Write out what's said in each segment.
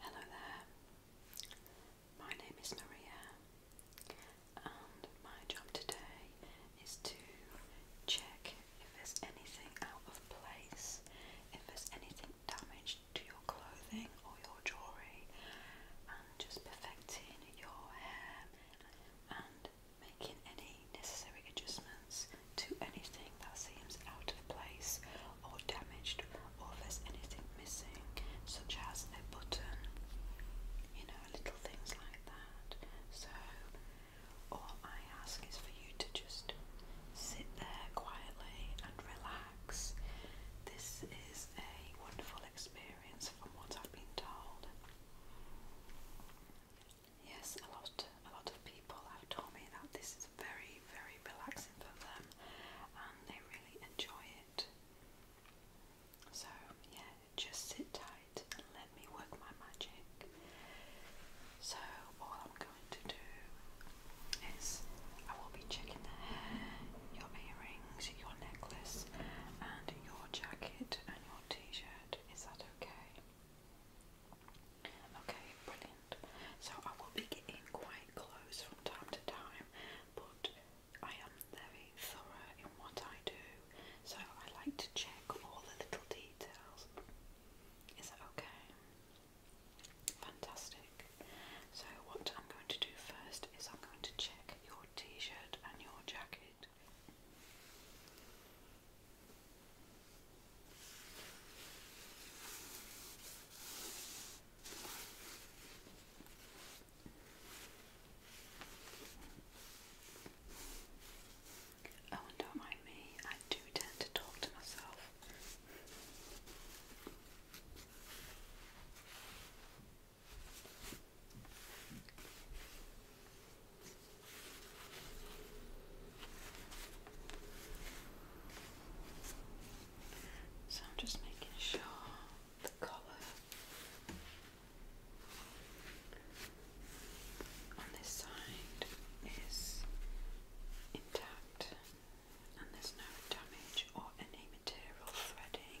Hello there, my name is Maria, my job today is to check if there's anything out of place, if there's anything damaged to your clothing or your jewellery, and just perfecting your hair and making any necessary adjustments to anything that seems out of place or damaged, or if there's anything missing, such as a button, you know, little things like so, all I ask is for you to just sit there quietly and relax. This is a wonderful experience from what I've been told. Yes, a lot, a lot of people have told me that this is very, very relaxing for them, and they really enjoy it. So, yeah, just sit tight and let me work my magic. So, all I'm going to do is I will be checking the hair, your earrings, your necklace, and your jacket and your t shirt. Is that okay? Okay, brilliant. So, I will be getting quite close from time to time, but I am very thorough in what I do, so I like to check all the little details. Is that okay? Fantastic. So what I'm going to do first is I'm going to check your t-shirt and your jacket. Oh, don't mind me, I do tend to talk to myself. So I'm just making sure the collar on this side is intact and there's no damage or any material threading.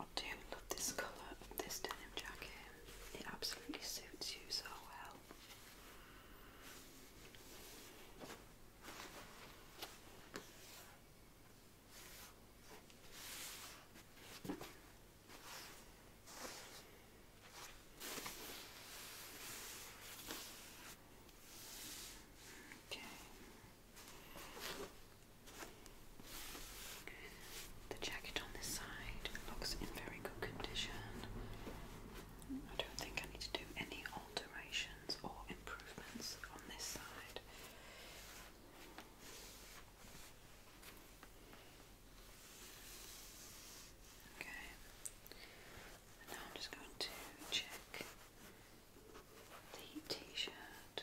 I do love this colour of this denim jacket, it absolutely suits you so well. Okay. The jacket on this side looks in very good condition. I don't think I need to do any alteration or improvements on this side. Okay, now I'm just going to check the t shirt.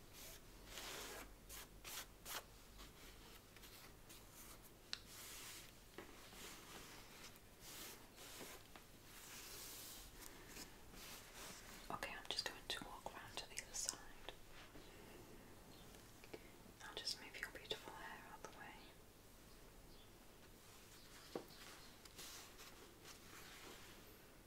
Okay, I'm just going to walk around to the other side. I'll just move your beautiful hair out the way.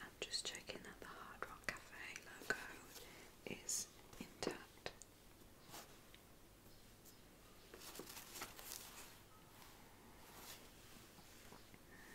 I'm just checking that the Hard Rock Cafe logo is intact.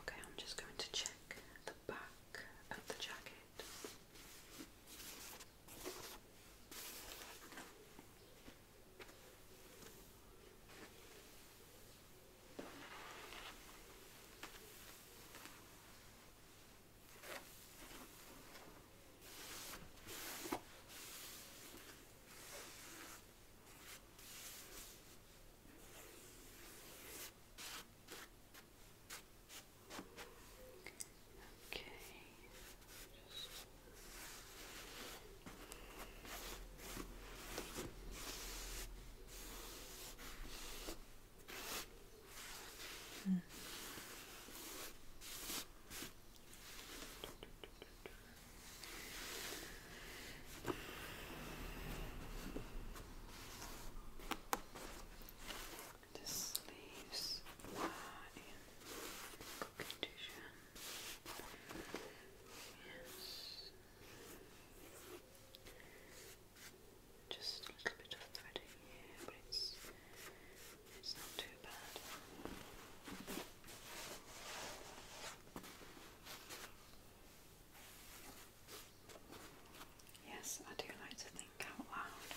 Okay, I'm just going to check the back of the jacket. Okay. Just... Hmm. The sleeves are in condition. Yes. Just a little bit of threading here, but it's it's not too bad. Yes, I do like to think out loud.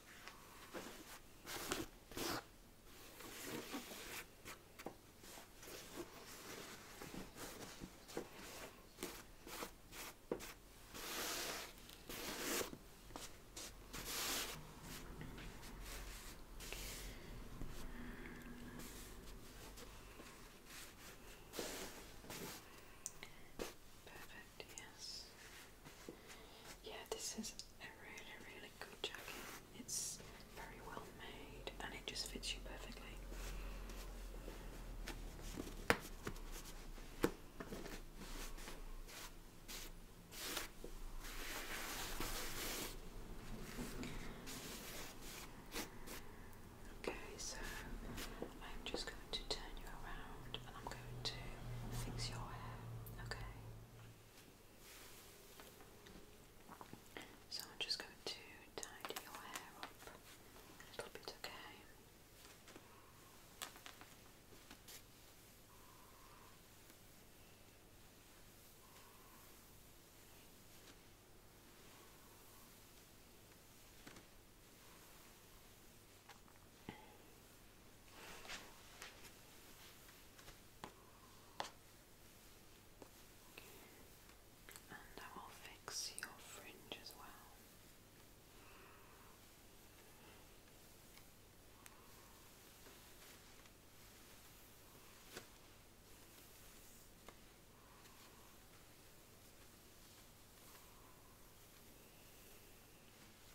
Perfect, yes. Yeah, this is a really, really good jacket. It's very well made and it just fits you perfectly. Okay, so I'm just going to turn you around and I'm going to fix your hair, okay? So I'm just going to tidy your hair up a little bit, okay? And I will fix your fringe as well.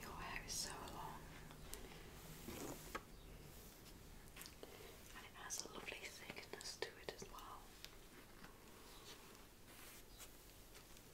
Your hair is so long and it has a lovely thickness to it as well.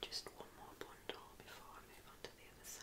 Just one more bundle before I move on to the other side.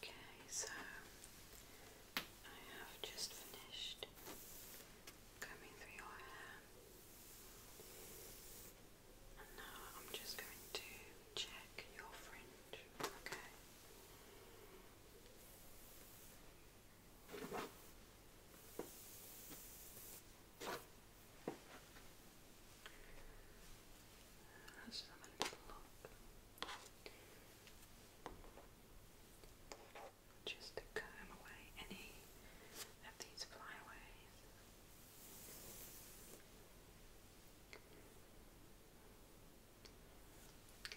Okay, so I have just finished combing through your hair, and now I'm just going to check your fringe. Okay, let Just to comb away any of these flyaways.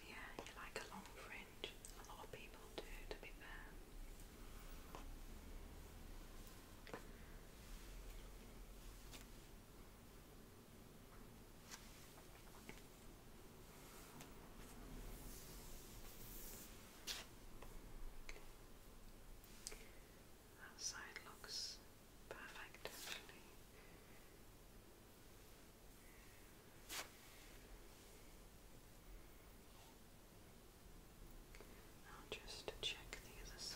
Yeah, you like a long fringe. A lot of people do, to be fair. That side looks perfect actually just to check the other side.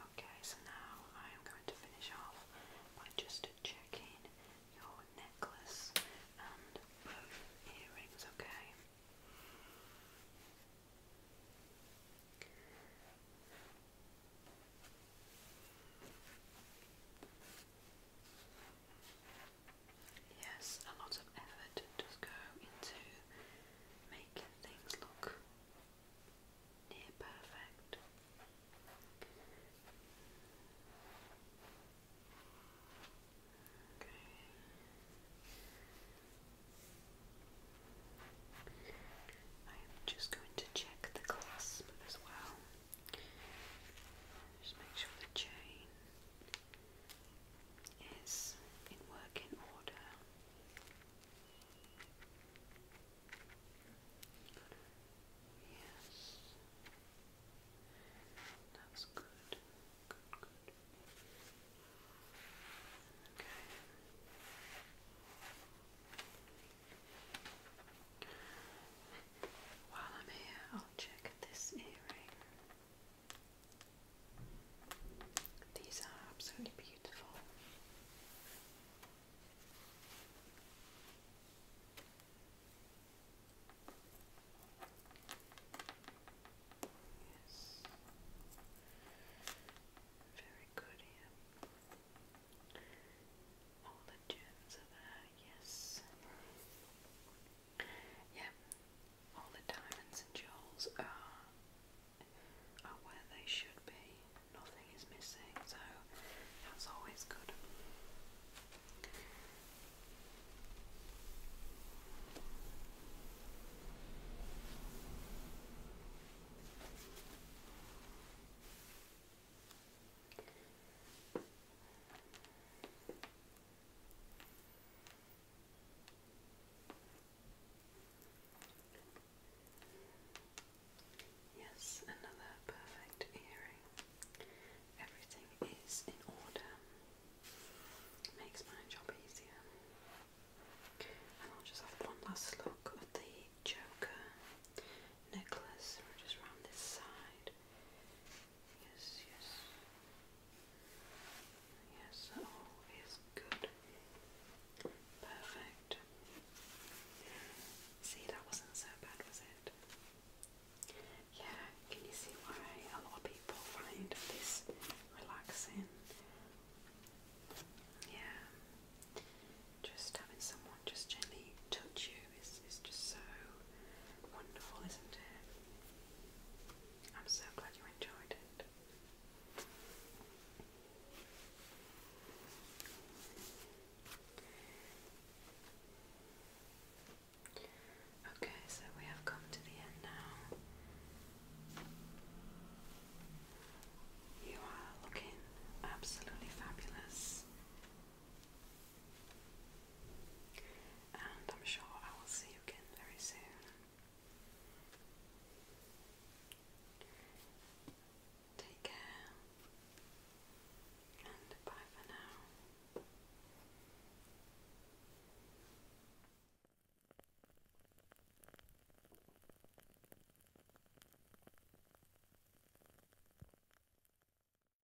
Okay, so now I am going to finish off by just checking your necklace and both earrings, okay? Yes, a lot of effort does go into making things look near perfect. Okay. I am just going to check the clasp as well. Just make sure the chain is in working order. Yes. That's good. Good, good. Okay. While I'm here, I'll check this earring. These are absolutely beautiful. Yes. Very good here. All the gems are there, yes. Yeah, all the diamonds and jewels are, are where they should be. Nothing is missing, so that's always good. Yes, another perfect earring. Everything is in order. Makes my job easier. And I'll just have one last look at the Joker necklace, just round this side. Yes, yes. Yes, all is good. Perfect. See, that wasn't so bad, was it? Yeah, can you see why a lot of people find this relaxing? Yeah. Just having someone just gently touch you is, just so wonderful, isn't it? I'm so glad you enjoyed it. Okay, so we have come to the end now. You are looking absolutely fabulous. And I'm sure I will see you again very soon. Take care and bye for now.